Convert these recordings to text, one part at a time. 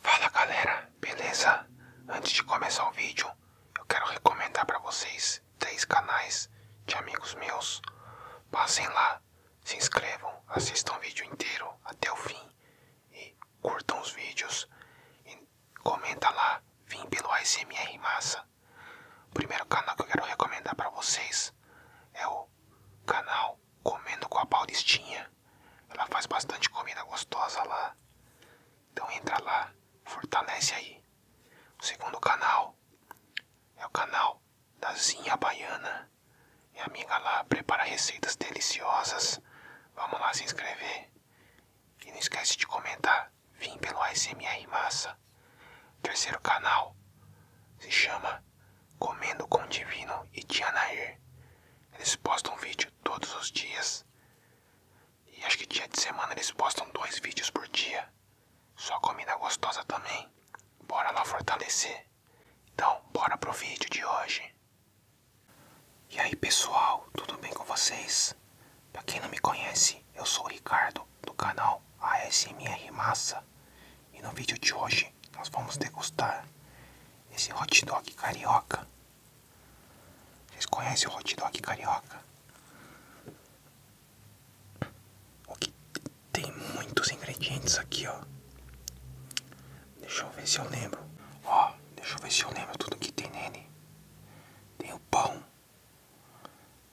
Fala galera, beleza? Antes de começar o vídeo, eu quero recomendar para vocês três canais de amigos meus. Passem lá, se inscrevam, assistam o vídeo inteiro até o fim e curtam os vídeos. E comentem lá, vim pelo ASMR Massa. O primeiro canal que eu quero recomendar para vocês é o canal Comendo com a Paulistinha. Ela faz bastante comida gostosa lá. Então entra lá, fortalece aí. O segundo canal é o canal da Zinha Baiana. Minha amiga lá prepara receitas deliciosas. Vamos lá se inscrever. E não esquece de comentar. Vim pelo ASMR Massa. O terceiro canal se chama Comendo com o Divino e Tia Eles postam vídeo todos os dias. E acho que dia de semana eles postam dois vídeos por dia. Só comida gostosa também. Bora lá fortalecer. Então, bora pro vídeo de hoje. E aí pessoal, tudo bem com vocês? Pra quem não me conhece, eu sou o Ricardo do canal ASMR Massa. E no vídeo de hoje nós vamos degustar esse hot dog carioca. Vocês conhecem o hot dog carioca? O que tem muitos ingredientes aqui, ó. Deixa eu ver se eu lembro. Ó, deixa eu ver se eu lembro tudo que tem nele. Tem o pão,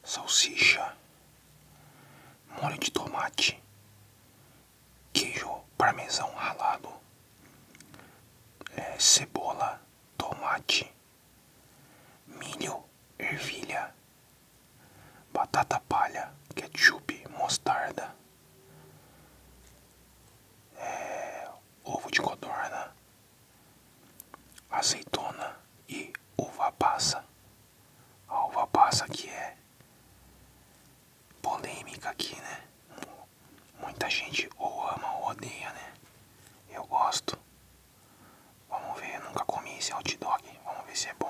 salsicha, molho de tomate, queijo parmesão ralado, é, cebola, tomate, milho, ervilha, batata palha, ketchup, mostarda, é, ovo de codorna, azeitona e uva passa a uva passa que é polêmica aqui, né? Muita gente ou ama ou odeia, né? Eu gosto. Vamos ver, eu nunca comi esse hot dog. Vamos ver se é bom.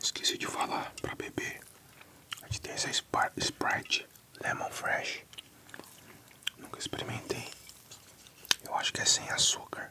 Esqueci de falar para beber. A gente tem essa Sprite Lemon Fresh. Nunca experimentei. Eu acho que é sem açúcar.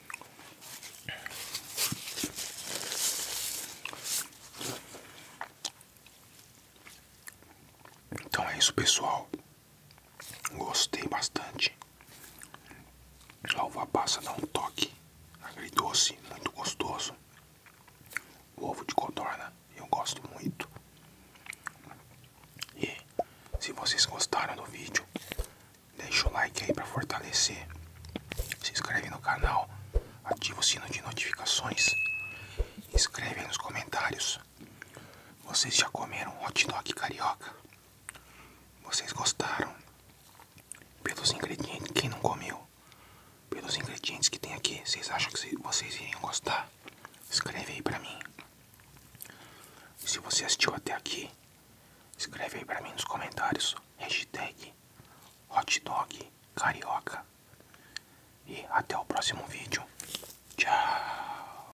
Então é isso, pessoal. Gostei bastante. A uva passa dá um toque agridoce, muito gostoso. O ovo de codorna eu gosto muito. E se vocês gostaram do vídeo, Deixa o like aí para fortalecer. Se inscreve no canal, ativa o sino de notificações. Escreve aí nos comentários. Vocês já comeram hot dog carioca? Vocês gostaram? Pelos ingredientes, quem não comeu? Pelos ingredientes que tem aqui, vocês acham que vocês iriam gostar? Escreve aí para mim. Se você assistiu até aqui, Escreve aí para mim nos comentários. Hashtag hotdog carioca. E até o próximo vídeo. Tchau.